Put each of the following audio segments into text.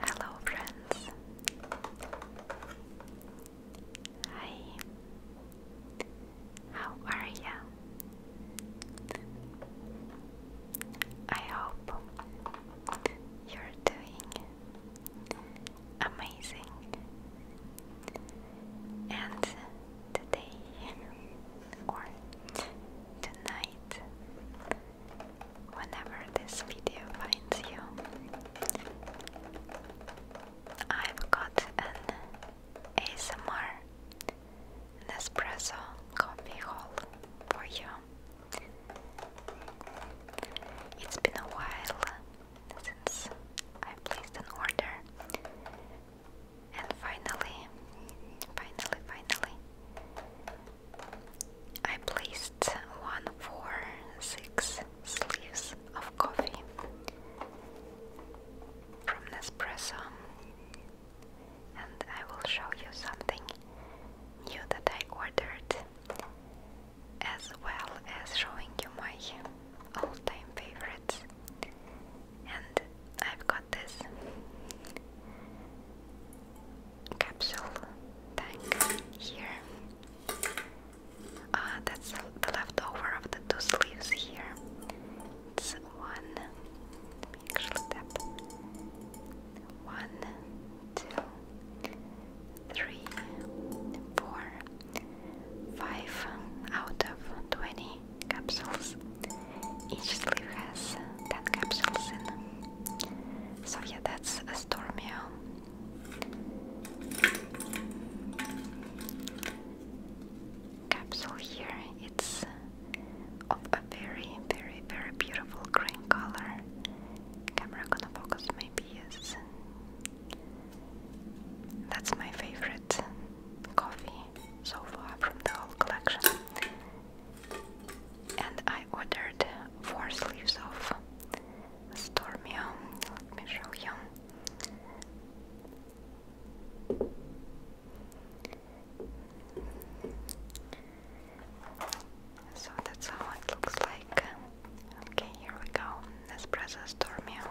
Hello, friends. Hi. How are you? I hope you're doing amazing. And today, or tonight, whenever this video finds you, I've got an ASMR Nespresso coffee haul for you. It's been a while since I placed an order, and finally, finally, finally, I placed one, four, six sleeves of coffee from Nespresso, and I will show you something new that I ordered, as well as showing you my all-time favorites and I've got this capsule tank here. Uh, that's the leftover of the two sleeves here. It's one, actually One, two, three, four, five out of twenty capsules. Each sleeve has 10 capsules in. So yeah, that's a Stormio. Capsule here, it's of a very, very, very beautiful green color. Camera gonna focus, maybe That's my favorite coffee so far from the whole collection and I ordered four sleeves of Stormio. Let So that's how it looks like. Okay, here we go. Nespresso Stormio.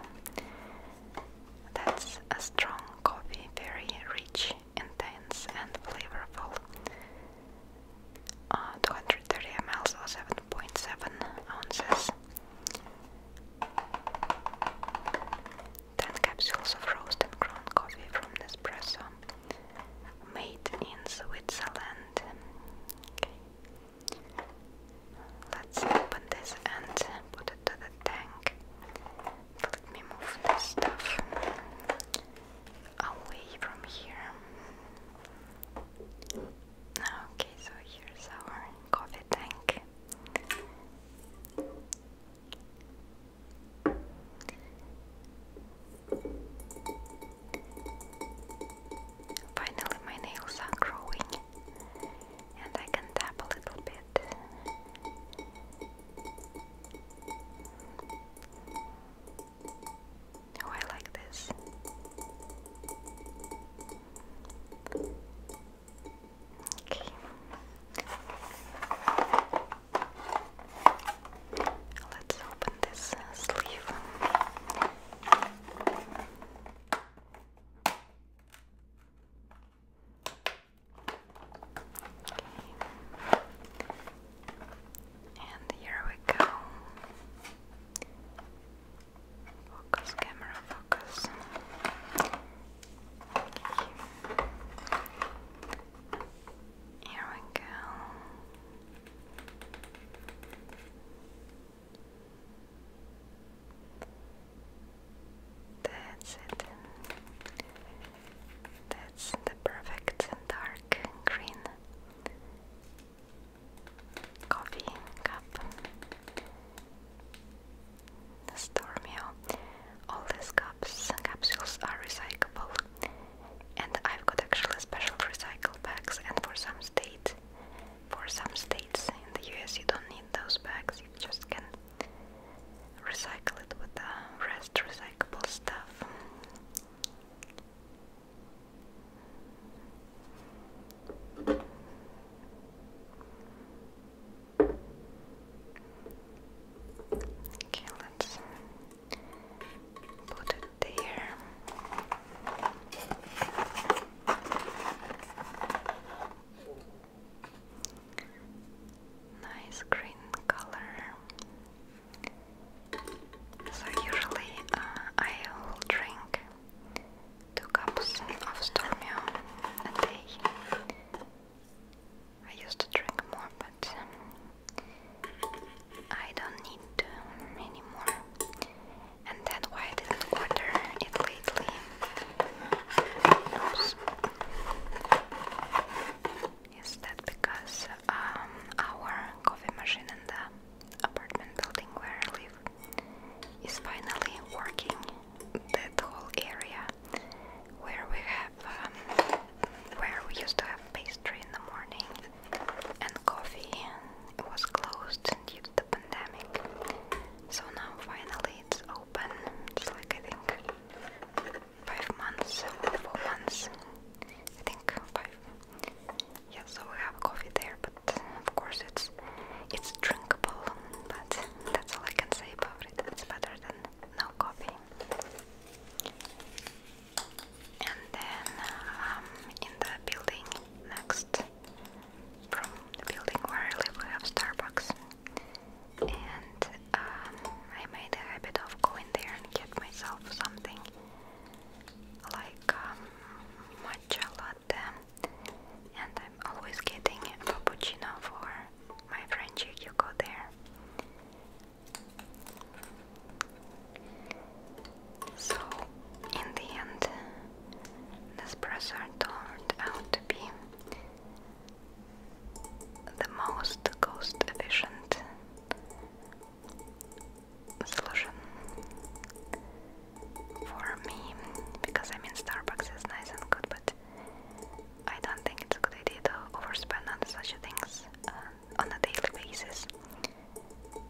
That's a strong coffee, very rich intense, and flavorful. Uh, 230 ml, or 7.7 ounces. 10 capsules of roasted ground coffee from Nespresso, made in Switzerland. Let's open this and put it to the tank. Let me move this stuff away from here. Okay, so here's our coffee tank. Finally, my nails are growing, and I can tap a little bit. Oh, I like this. Okay. Let's open this sleeve. Okay. And here we go. Focus, camera, focus. Here we go. That's it. That's the perfect dark green coffee cup. Stormio. All these cups capsules are recyclable. And I've got actually special recycle bags and for some state for some states in the US you don't need those bags, you just can recycle it with the rest recyclable stuff. Okay, let's put it there nice green color. So usually uh, I drink two cups of Stormio a day. I used to drink more, but I don't need anymore, and that's why didn't order it lately. Is that because um, our coffee machine in the apartment building where I live is finally working? That whole area where we have, um, where we used to have pastry in the morning and coffee was closed due to the pandemic. So now finally it's open open. It's like I think five months four months. I think five. Yeah, so we have coffee there, but of course it's it's drinkable. But that's all I can say about it. It's better than no coffee. And then um, in the building next, from the building where we have Starbucks and um, I made a habit of going there and get myself something like um, matcha latte, and I'm always getting a cappuccino for my friend Frenchie. You go there. So, in the end, Nespresso turned out to be the most cost efficient solution for me because I mean Starbucks is nice and good but I don't think it's a good idea to overspend on such things uh, on a daily basis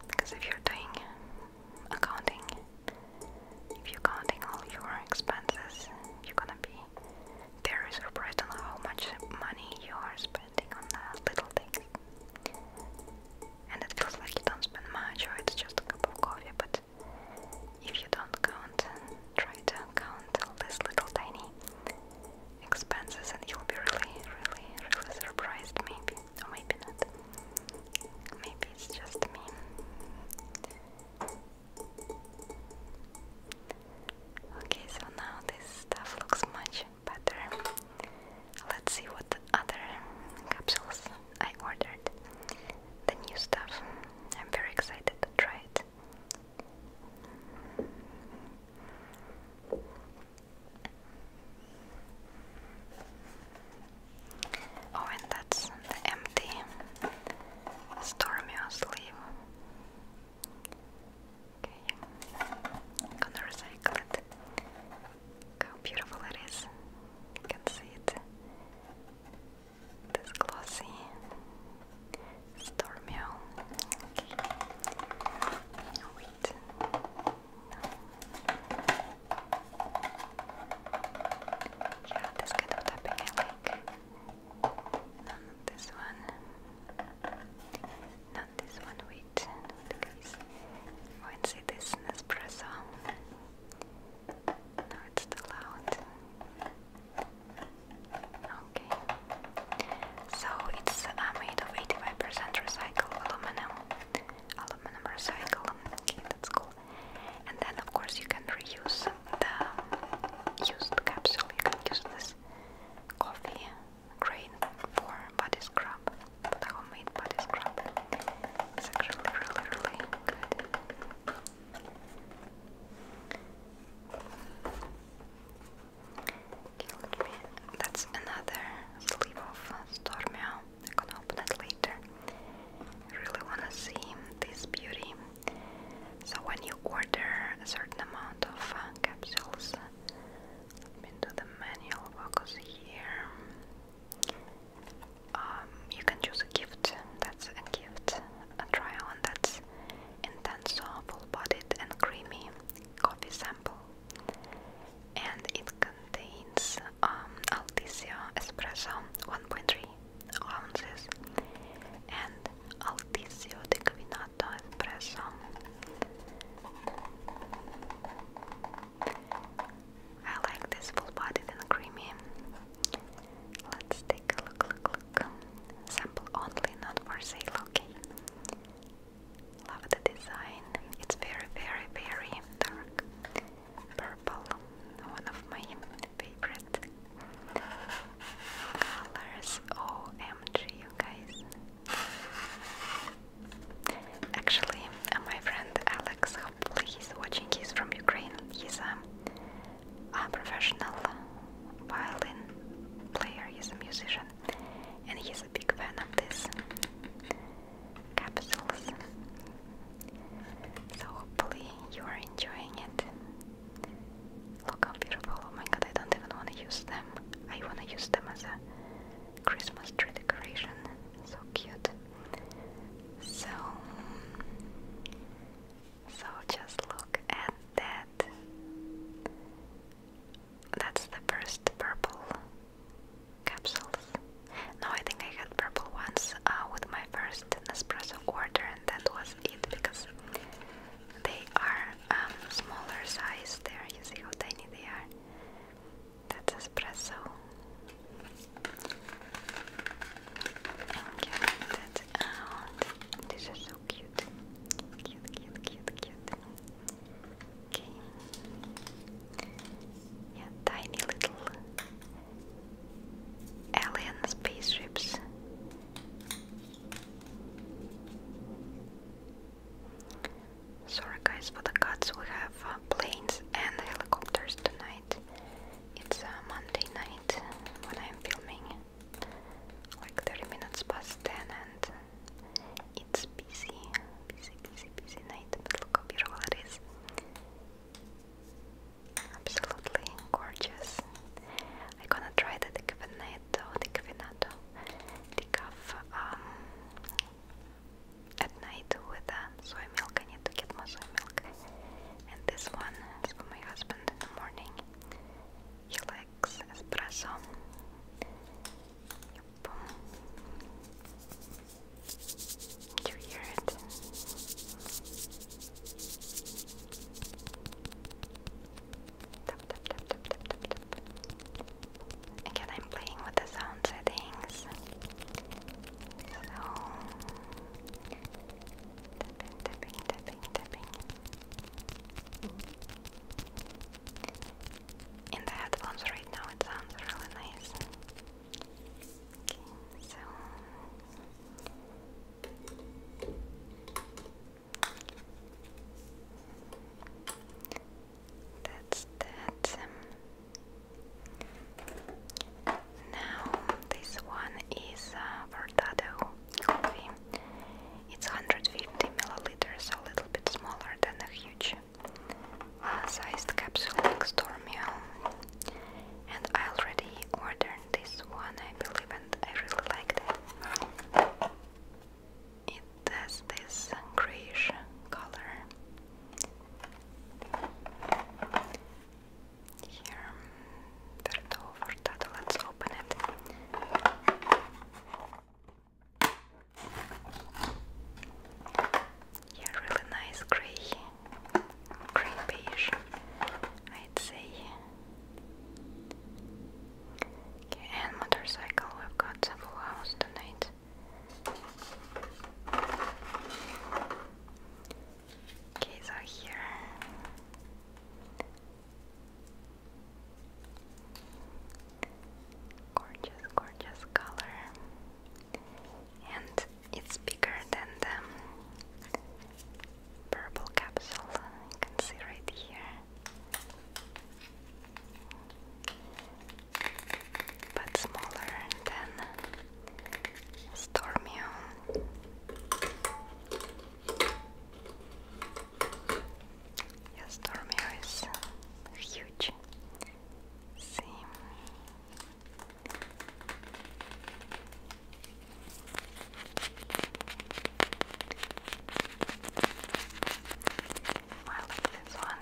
because if you're doing accounting if you're counting all your expenses you're gonna be there is a surprised on how much money you are spending on uh, little things. And it feels like you don't spend much, or it's just a cup of coffee, but if you don't count, try to count all these little tiny expenses, and you'll be really, really, really surprised, maybe, maybe not. Maybe it's just me. Okay, so now this stuff looks much better. Let's see what the other capsules I ordered. The new stuff. I'm very excited to try it. Oh, and that's the empty stormy sleeve. Okay, gonna recycle it. how beautiful it is. You can see it. This glossy stormy. Okay. Oh, wait. Yeah, this kind of tapping I like not this one. Not this one, wait. Not this. Oh, see this Nespresso. No, it's still loud. Okay. So it's uh, made of 85% recycled aluminum. Aluminum recycled. Okay, that's cool and then of course you can reuse the used capsule. You can use this coffee grain for body scrub, homemade body scrub. It's actually really, really good. That's another sleeve of Stormio. I can open it later. really wanna see this beauty so when you order a certain amount of uh, capsules, into the manual focus here. Um, you can choose a gift. That's a gift. A try-on that's intense, full-bodied, and creamy coffee sample, and it contains um, espresso, 1.3 ounces and Altissimo di espresso. I like this full-bodied and creamy. Let's take a look, look, look. Sample only, not for sale, okay? Love the design. It's very, very, very dark purple, one of my favorite colors. OMG, guys. Actually, my friend Alex, hopefully he's watching, he's from Ukraine. He's a professional violin player, he's a musician, and he's a big fan of these capsules. So hopefully you are enjoying it. Look how beautiful. Oh my god, I don't even want to use them. I want to use them as a Christmas decoration. So cute. So so just look at that. That's the first purple capsules. No, I think I had purple ones uh, with my first Nespresso order, and that was it because they are um, smaller size. There, you see how tiny they are. That's espresso. Okay, that's out. Um, These are so cute. Cute, cute, cute, cute. Okay. Yeah, tiny little alien spaceships. Sorry guys for the cuts, we have uh, planes and helicopters tonight. It's Monday night when I'm filming, like 30 minutes past 10 and it's busy, busy, busy, busy night, look how beautiful it is. Absolutely gorgeous. I'm gonna try the Decafinato, Decafinato, Decaf um, at night with soy milk. I need to get more soy milk. And this one for my husband in the morning. He espresso. Yep. Do you hear it? Tap, tap, tap, tap, tap, tap, tap. Again, I'm playing with the sound settings. So, tapping, tapping, tapping, tapping. In the headphones right now, it sounds really nice. Okay, that's that. Um, now this one is uh, Verdado coffee. It's 150 milliliters, a little bit smaller than a huge uh, sized capsule next to Stormio and I already ordered this one, I believe, and I really like it. It has this grayish color here. Let's open it. Yeah, really nice gray grey beige, I'd say. Okay, and motorcycle, we've got some flowers tonight. Okay, so here. Gorgeous, gorgeous color and it's bigger than the purple capsule. You can see right here, but smaller than Stormio. Yes, Stormio is huge. See, I like this one.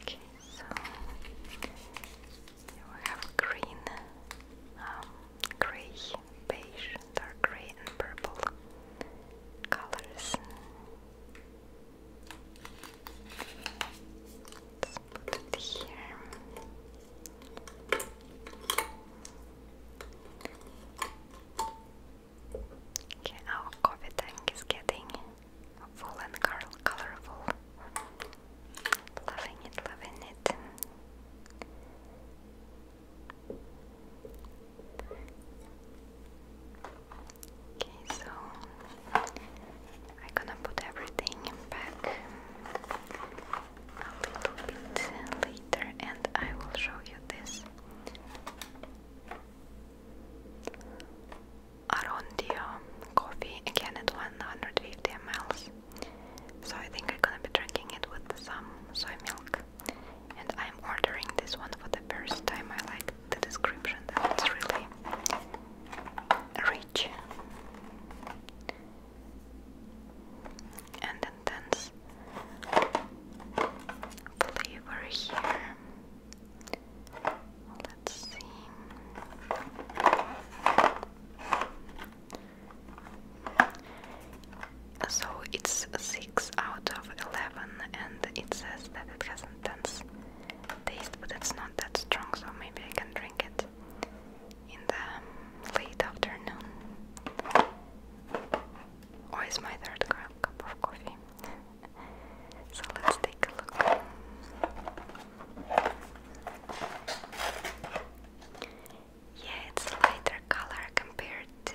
Okay, so we have green, um, grey, beige, dark grey, and purple colors. Let's put it here. Okay, our coffee tank is getting full and colorful. Loving it, loving it. Okay, so I'm gonna put everything back a little bit later and I will show you this. Arondio coffee again at 150 ml. So I think I'm gonna be drinking it with some soy milk. And I'm ordering this one for the first time. I like the description that it's really rich and intense flavor here. So it's 6 out of 11, and it says that it has intense taste, but it's not that strong, so maybe I can drink it in the late afternoon. Or is my third cup of coffee? so let's take a look. Yeah, it's a lighter color compared to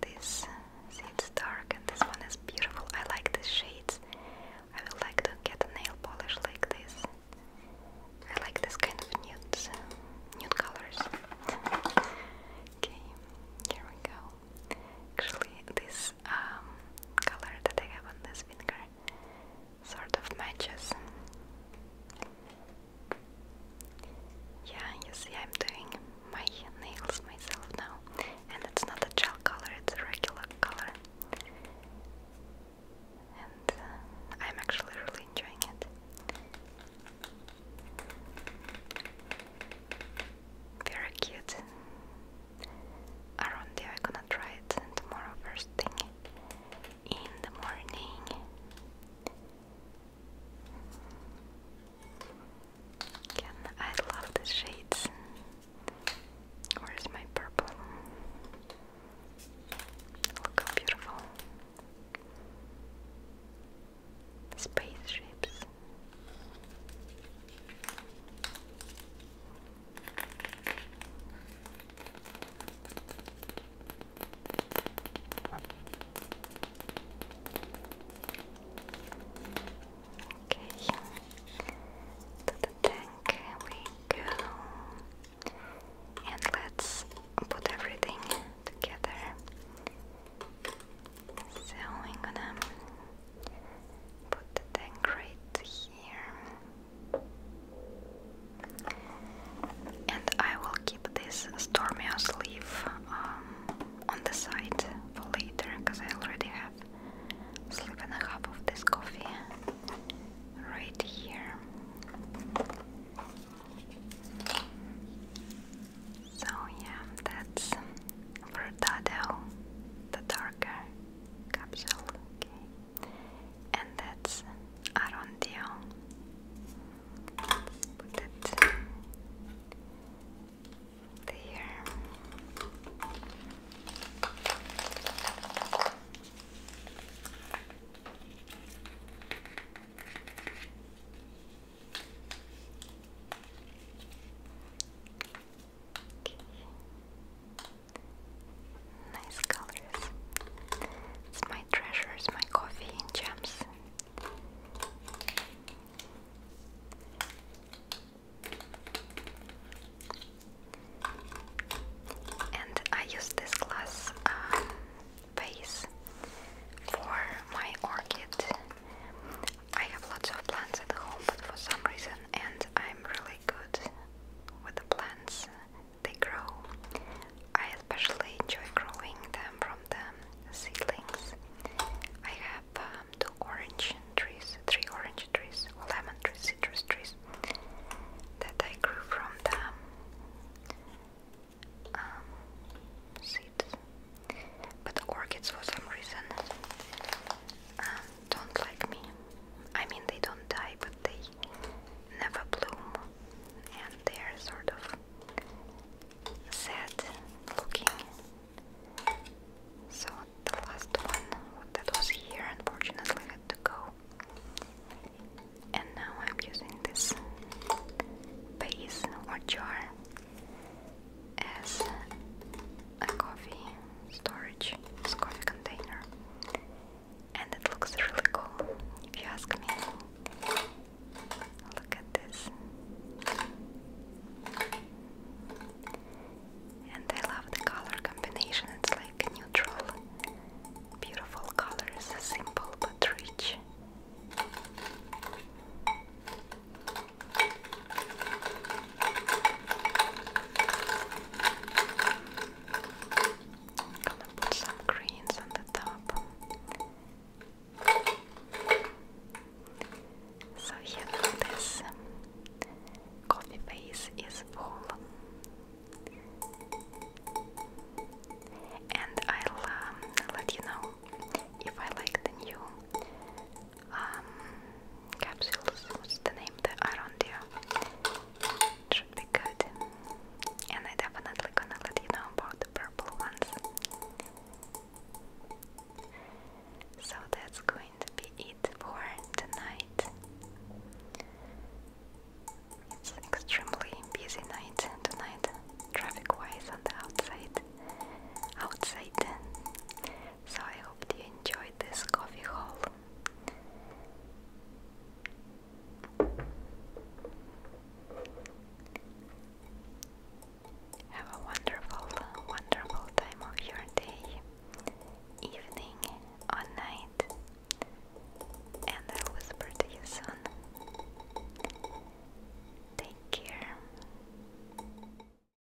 this. See, it's dark, and this one is beautiful. I like the shades. I would like to get nail polish like this. I like this kind of nudes, nude colors. okay, here we go. Actually, this um, color that I have on this finger sort of matches. Yeah, you see, I'm doing my nails myself now, and it's not a gel color, it's a regular color. And uh, I'm actually really enjoying it. Very cute around there I'm gonna try it tomorrow first thing in the morning Again, I love the shades Where's my purple? Look how beautiful Spaceships Okay, to the tank we go, and let's put everything together. So I'm gonna put the tank right and I will keep this Stormio sleeve um, on the side for later because I already have sleeve a half of this coffee right here. So yeah, that's Verdado, the darker capsule, okay. And that's Arondio. let put it there. Nice colors. It's my treasures, my coffee and gems. And I use this glass um, vase for my orchid I have lots of plants at home, but for some reason, and I'm really good with the plants they grow. I especially enjoy growing them from the seedlings. I have um, two orange trees, three orange trees, lemon trees, citrus trees that I grew from the um, seeds. But orchids, for some reason, um, don't like me. I mean, they don't die, but they never bloom, and they are sort of sad looking. So, the last one that was here unfortunately had to go. And now I'm using this base or jar as a coffee storage, this coffee container, and it looks really cool if you ask me. Look at this, and I love the color combination, it's like neutral, beautiful colors, simple but rich. I'm gonna put some greens on the top. So you this coffee base is full. And I'll um, let you know if I like the new um, capsules. the name? The Iron Dew. It should be good. And I definitely gonna let you know about the purple ones. So that's going to be it for tonight. It's an extremely busy night tonight, traffic wise on the outside. Outside. So I hope you enjoyed this coffee haul. Have a wonderful, wonderful time of your day, evening, or night, and I'll whisper to Take care.